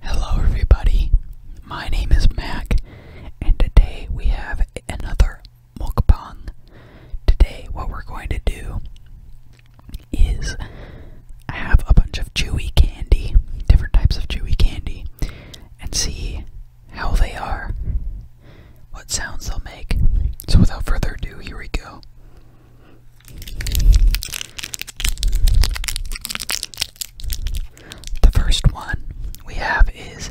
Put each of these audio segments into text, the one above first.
Hello, everybody. My name is Mac, and today we have another mukbang. Today, what we're going to do is I have a bunch of chewy candy, different types of chewy candy, and see how they are, what sounds they'll make. So, without further ado, here we go. The first one we have is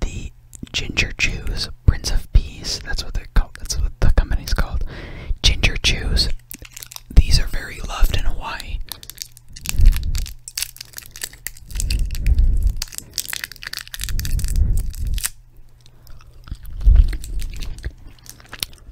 the Ginger Chews Prince of Peace. That's what they're called. That's what the company's called. Ginger Chews. These are very loved in Hawaii.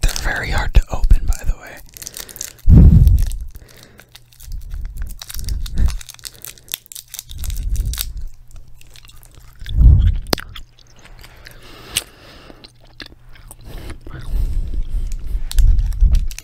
They're very hard to open, by the way.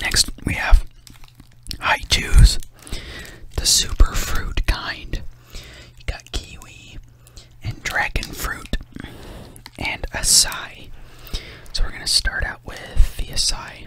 Next, we have I choose the super fruit kind. You got kiwi and dragon fruit and acai. So we're going to start out with the acai.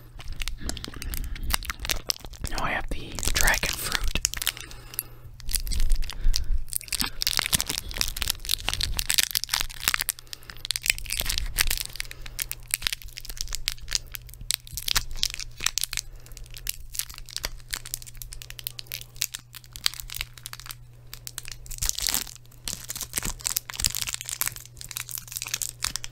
Now I have the dragon fruit.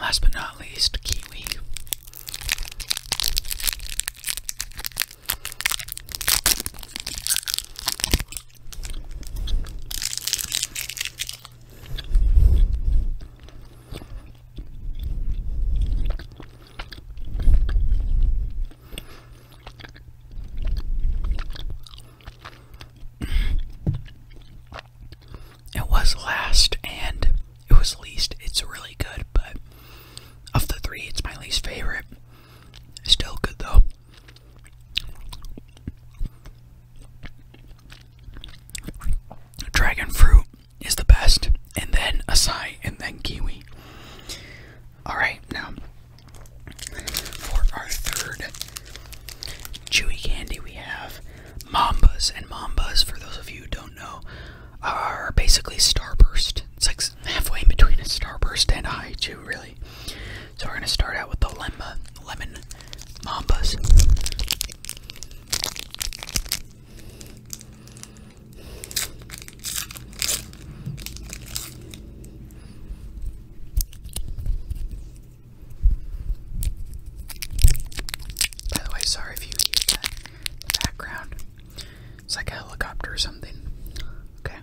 Last but not least, kiwi. It was last and it was least. It's really good, but of the three, it's my least favorite. Still good though. Dragon fruit is the best, and then acai, and then kiwi. Alright, now for our third chewy candy, we have Mambas, and mambas, for those of you who don't know, are basically starburst. It's like halfway in between a starburst and a haichu, really. So we're going to start out with the lemma, lemon mambas. By the way, sorry if you hear that background. It's like a helicopter or something. Okay.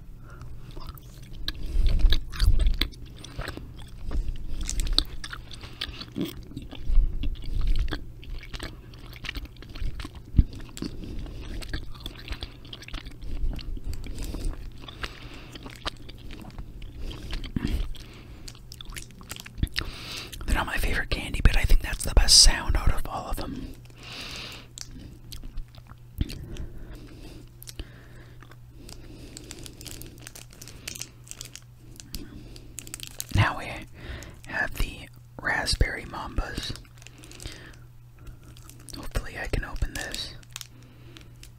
They're not my favorite candy, but I think that's the best sound out of all of them. Now we have the raspberry mambas. Hopefully, I can open this.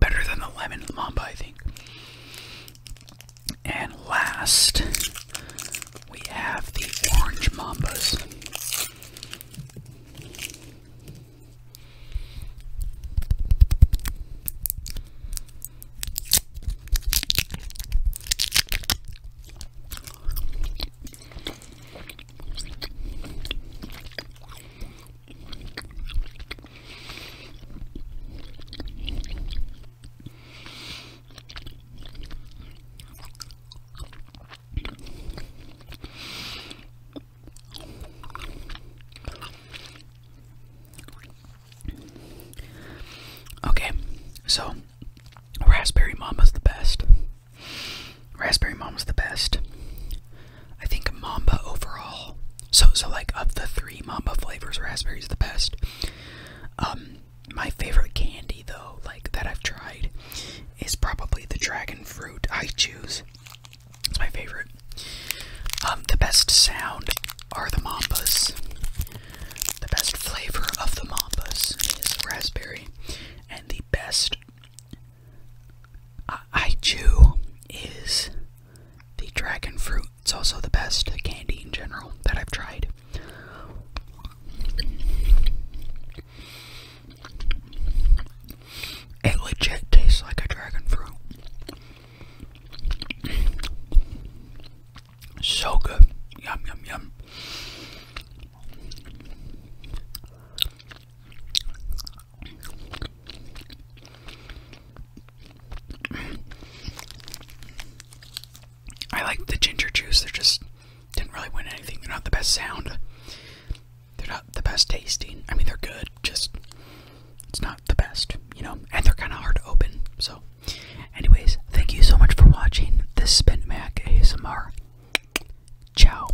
Better than the lemon mamba, I think. And last, we have the orange mambas. Okay, so raspberry mama's the best. Raspberry mama's the best. I think mamba overall so so like of the three Mamba flavors, raspberry is the best. Um, my favorite candy though, like that I've tried, is probably the dragon fruit. I choose. It's my favorite. Um, the best sound are the Mambas. The best flavor of the Mambas is raspberry, and the best uh, I chew is the dragon fruit is also the best candy in general that I've tried. It legit tastes like a dragon fruit. So good. Yum, yum, yum. I like the ginger juice, they just didn't really win anything. They're not the best sound. They're not the best tasting. I mean, they're good, just it's not the best, you know? And they're kind of hard to open, so. Anyways, thank you so much for watching. This has Mac ASMR. Ciao.